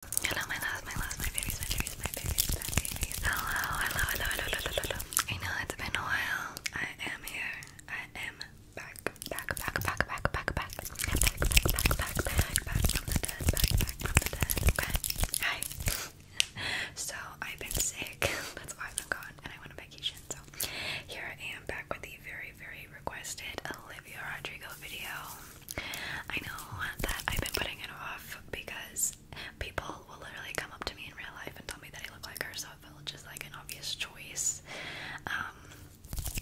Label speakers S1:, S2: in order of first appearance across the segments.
S1: Hello, my loves, my loves, my babies, my babies, my babies, my babies. Hello, hello, hello, hello, hello, hello. I know it's been a while. I am here. I am back, back, back, back, back, back, back, back, back, back, back, back, back from the back, back Hi. So I've been sick. That's why I've been gone, and I went on vacation. So here I am back with the very, very requested Olivia Rodrigo video. I know that I've been putting it off because people will literally come up to me in real life and tell me that I look like her, so it felt just like an obvious choice. Um,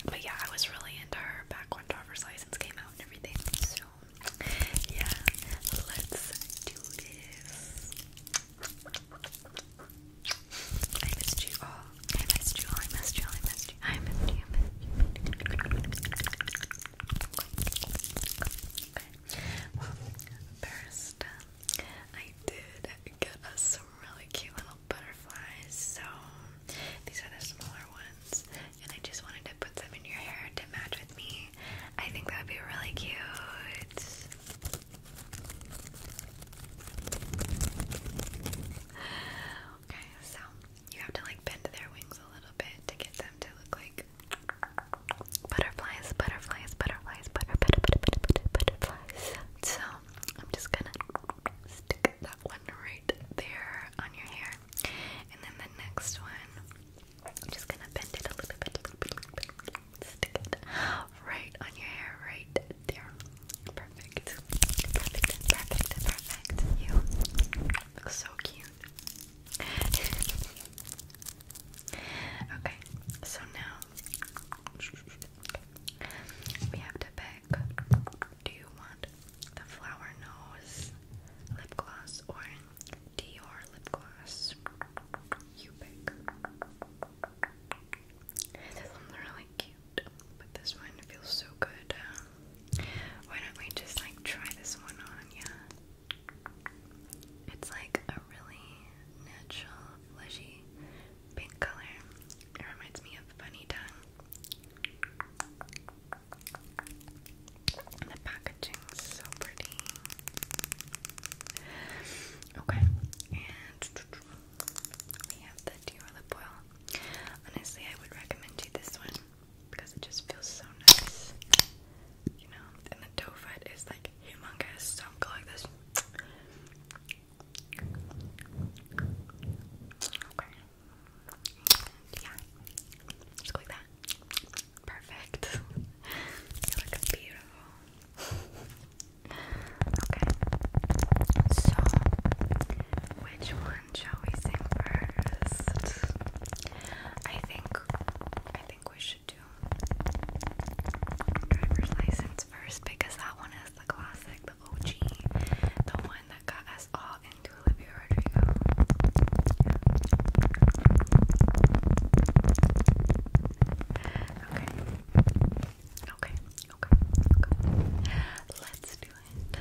S1: but yeah, I was really into her back when driver's license came out and everything. So yeah, let's do this. I missed you all. I missed you all. I missed you all. I missed i Well, first, I did get us some really cute little butterflies. So these are the smaller ones, and I just wanted to put them in your hair to match with me. I think that would be really cute. Okay, so you have to like bend their wings a little bit to get them to look like butterflies, butterflies, butterflies, butter, butter, butter, butter, butter butterflies. So I'm just gonna stick that one right there on your hair, and then the next one, I'm just gonna bend it a little bit, a little bit, little bit stick it right on your hair, right there. Perfect, perfect, perfect, perfect. You Looks so cute. okay, so now we have to pick do you want the flower nose lip gloss or Dior lip gloss? You pick. This one's really cute, but this one feels so good. Um, why don't we just like try this one on, yeah? It's like a really natural, fleshy pink color. It reminds me of Bunny Tongue. And the packaging's so pretty. Okay, and we have the Dior lip oil. Honestly, I would recommend you this one because it just feels so nice, you know. And the doe is like humongous, so I'm going this. Okay. Yeah. Just like that. Perfect. you look beautiful. okay. So, which one shall we sing first? I think I think we should do driver's license first because that one is the classic, the OG, the one that got us all into Olivia Rodrigo. Okay. Okay. Okay. Okay. Let's do it.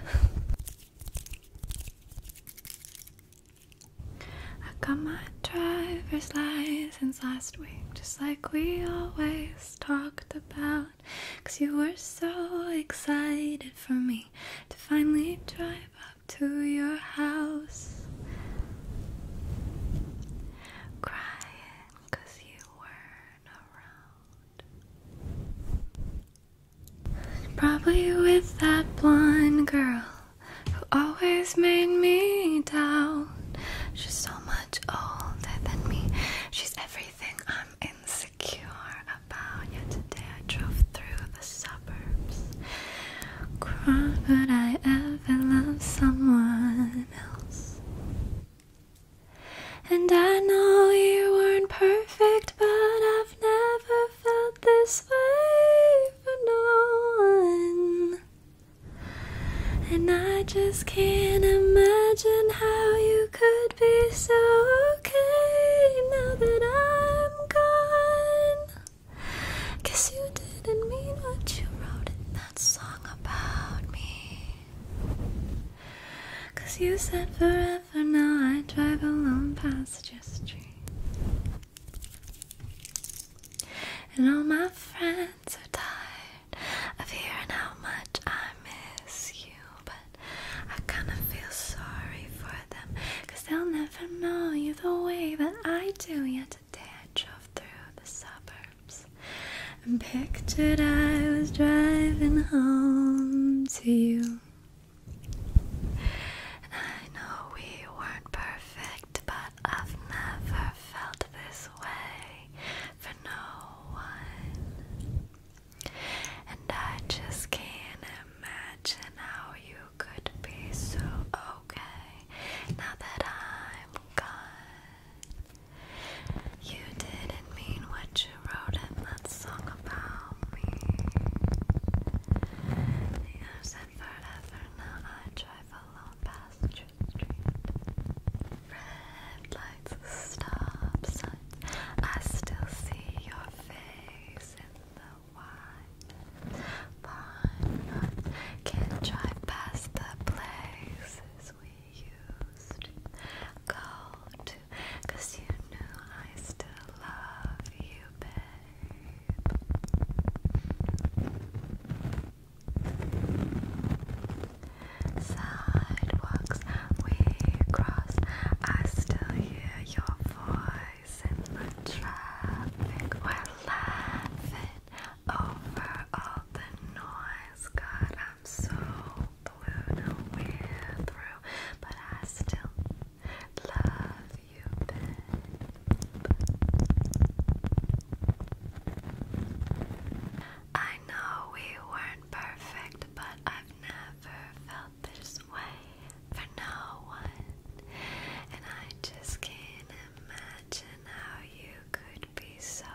S1: I got my driver's license last week, just like we always talked about. Cause you were so excited for me to finally drive up to your house. Crying you weren't around. Probably with that blonde girl who always made me doubt. She's so much older than me. She's everything I'm insecure about. Yet today I drove through the suburbs. Could I ever love someone else? And I know you weren't perfect, but I've I've never felt this way for no one. And I just can't imagine how you could be so okay now that I'm gone. you didn't mean what you wrote in that song about me. Cause you said forever never know I drive alone past your street. And all my friends are tired of hearing how much I miss you. But I kinda feel sorry for them. Cause they'll never know you the way that I do. Yet today I drove through the suburbs. And pictured I was driving home to you. I know we weren't perfect, but I've never felt this way for no one. And I just can't imagine how you could be so okay now that I'm gone. You didn't mean what she wrote it. let about me. I've forever now. I drive alone past the street. Red lights, stop signs. I still see your face in the wide pine can drive past the places we used to go cause you know I still love you, babe. Sidewalks we cross, I still hear your voice in the traffic. We're laughing over all the noise. God, I'm so blew no through, but I still love you, I know we weren't perfect, but I've never felt this way for no one, and I just can't imagine how you could be so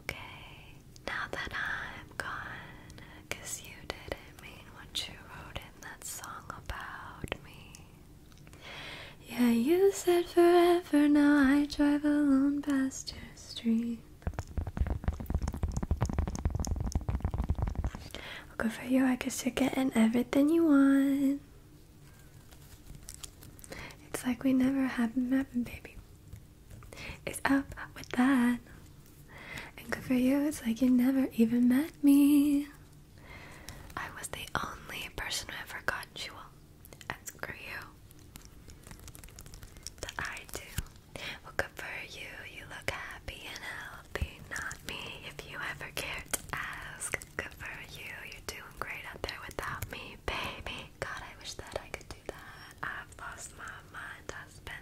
S1: okay. Now that I'm gone, cause you did mean what you wrote in that song about me. Yeah, you said forever, now I drive alone past your street. Well, good for you, I guess you're getting everything you want. It's like we never happened, happened, baby. It's up with that. And good for you, it's like you never even met me. I was the only person who ever got you all. And screw you. That I do. Well, good for you. You look happy and healthy. Not me, if you ever cared to ask. Good for you. You're doing great out there without me, baby. God, I wish that I could do that. I've lost my mind. I spent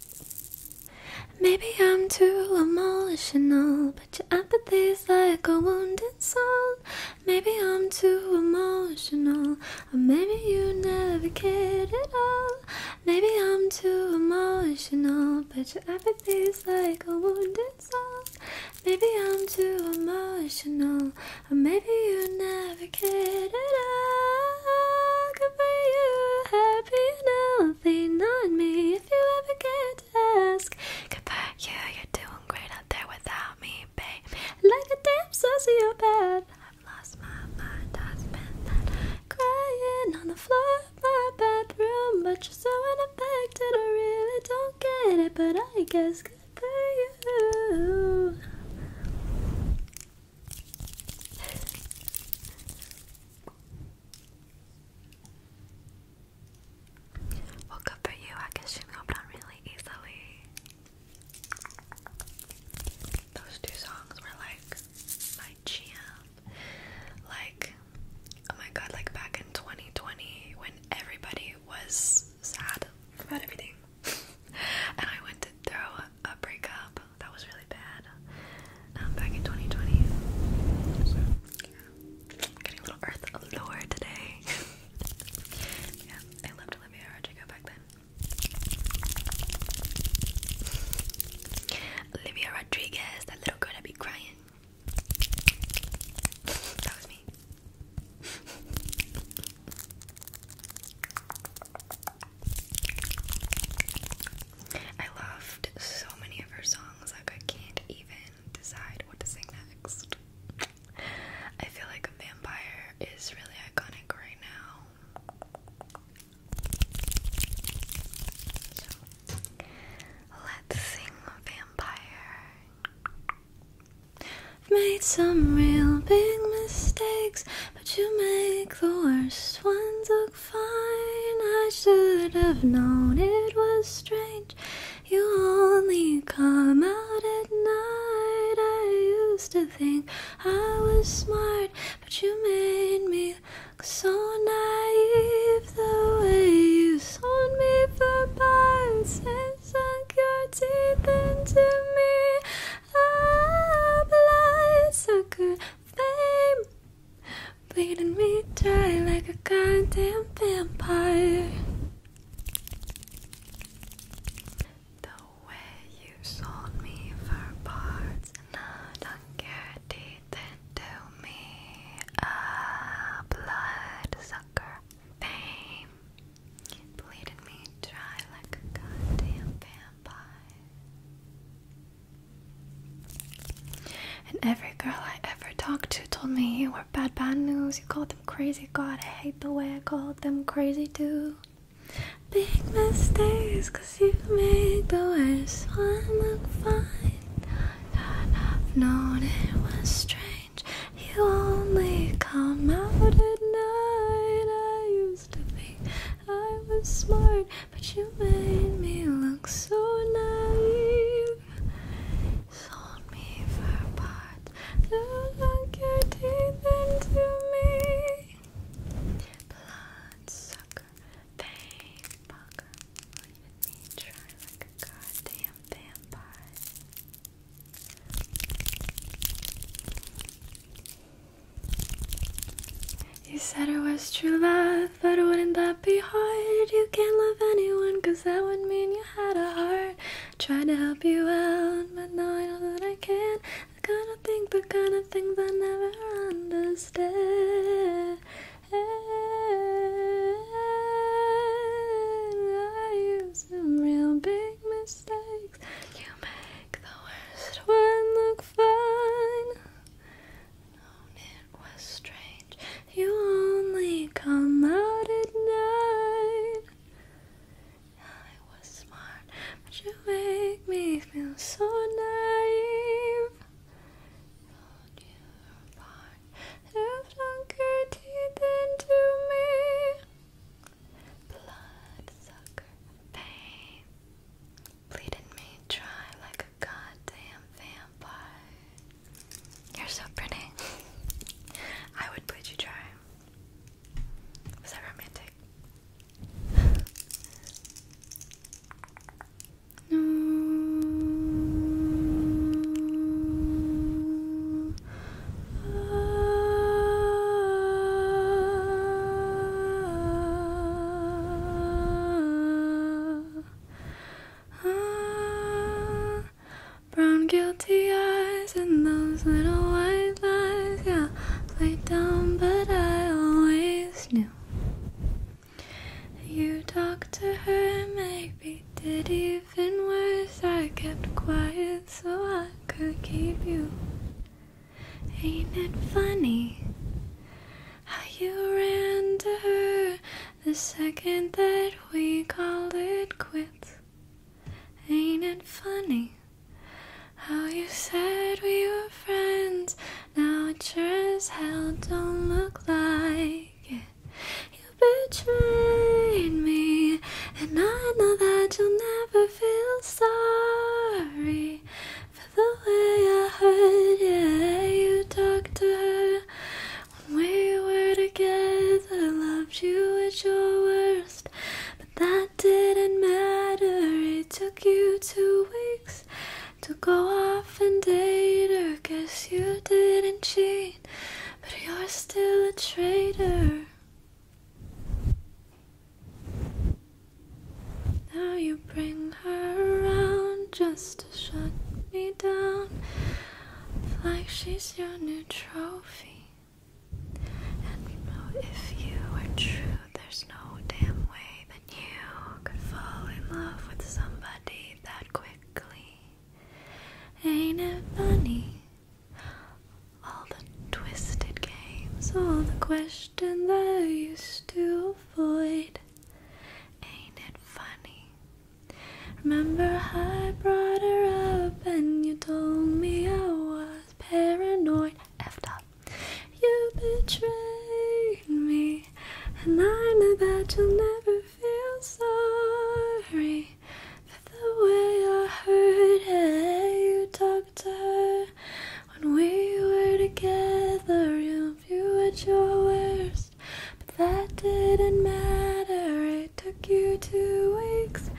S1: Maybe I'm too emotional, but your apathy's like a wounded soul. Maybe I'm too emotional, or maybe you never cared at all. Maybe I'm too emotional, but your apathy's like a wounded soul. Maybe I'm too emotional, or maybe you never cared at all. Good for you, be nothing on me if you ever get to ask. Good for you, you're doing great out there without me, babe. Like a damn sociopath. I've lost my mind, I spent that crying on the floor of my bathroom. But you're so unaffected, I really don't get it. But I guess good for you. Well, good for you. I guess you moved on really easily. Those two songs were like my jam. Like, oh my god, like back in 2020 when everybody was sad about everything. and I went to throw a breakup that was really bad. I'm um, back in 2020. Getting a little earth lore today. yeah, I loved Olivia Rodrigo back then. Olivia Rodriguez, that little girl that be crying. That was me. I loved so many of her songs, like I can't even decide what to sing next. I feel like Vampire is really iconic right now. let's sing Vampire. I've made some real big mistakes, but you make the worst ones fine. I should have known it was strange. You only come out at night. I used to think I was smart, but you made me so naive the way you sold me for buns and sunk your teeth into me. I blind sucker fame bleeding me dry like a goddamn vampire. The way you sold me for parts, and I care, did to me a bloodsucker. Fame bleeding me dry like a goddamn vampire. And every girl I ever talked to told me you were bad, bad news. You called them crazy. God, I hate the way I called them crazy too. Big mistakes, cause you made the worst one look fine. God, I've known it was strange. You only come out at night. I used to be. I was smart but you made me look so naive. Sold me for parts that look teeth into me. Blood sucker, pain fucker, leaving me dry like a goddamn vampire. You said it was true love, but wouldn't that be hard? You can't love anyone, cause that would mean you had a heart. I tried to help you out, but now I know that I can't. The kind of thing, the kind of things I never understand. I have some real big mistakes. You make the worst one look fine it was strange. You only come out at night. I was smart, but you make me feel so naive. Hold you apart, have longer teeth than to me. Bloodsucker pain. Bleeding me dry like a goddamn vampire. You're so pretty. I would bleed you dry. Was that romantic? no ah, brown guilty eyes and those little white lies. Yeah, played dumb, but I always knew. You talked to her, maybe did even worse. I kept quiet so I could keep you. Ain't it funny? how you ran to her the second that we called it quits. Ain't it funny how you said we were friends? Now it sure as hell don't look like it. You betrayed me, and I know that you'll never feel sorry for the way I heard yeah, you talked to her when we were together. Loved you at your worst, but that didn't matter. It took you two weeks to go off and date her. Guess you didn't cheat, but you're still a traitor. Now you bring her around just to shut me down. Like she's your new trophy. And if you are true, there's no damn way that you could fall in love with somebody that quickly. Ain't it funny? All the twisted games, all the questions that I used to avoid. Ain't it funny? Remember I brought her up and you told me I was paranoid. Effed up. You betrayed me, and I know that you'll never feel sorry for the way I hurt You talked her when we were together, you, you at your worst. But that didn't matter, it took you two weeks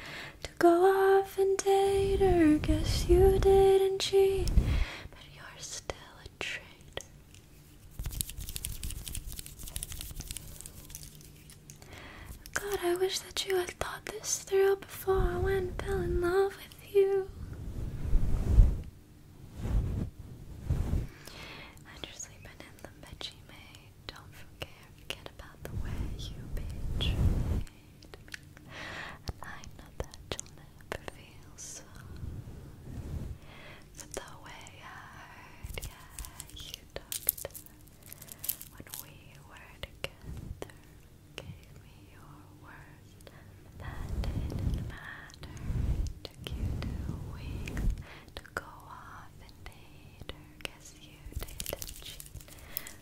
S1: to go off and date her. Guess you didn't cheat, but you're still a trait. God, I wish that you had thought this through before I went and fell in love with you. And you're sleeping in the bedsheet, mate. Don't forget about the way you betrayed I know that you'll never feel so. the way I heard, you talked when we were together. Gave me your word that didn't matter took you two weeks to go off and date her guess you did cheat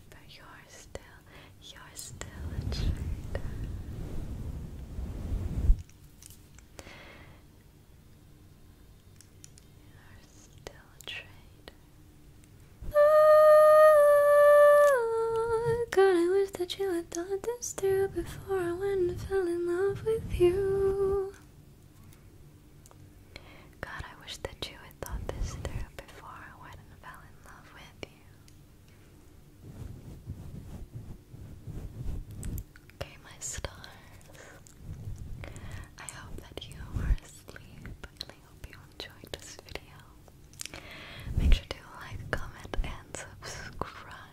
S1: but you're still, you're still a traitor you're still a traitor Oh God, I wish that you I thought this through before I went and fell in love with you. God, I wish that you had thought this through before I went and fell in love with you. Okay, my stars. I hope that you are asleep I hope you enjoyed this video. Make sure to like, comment, and subscribe.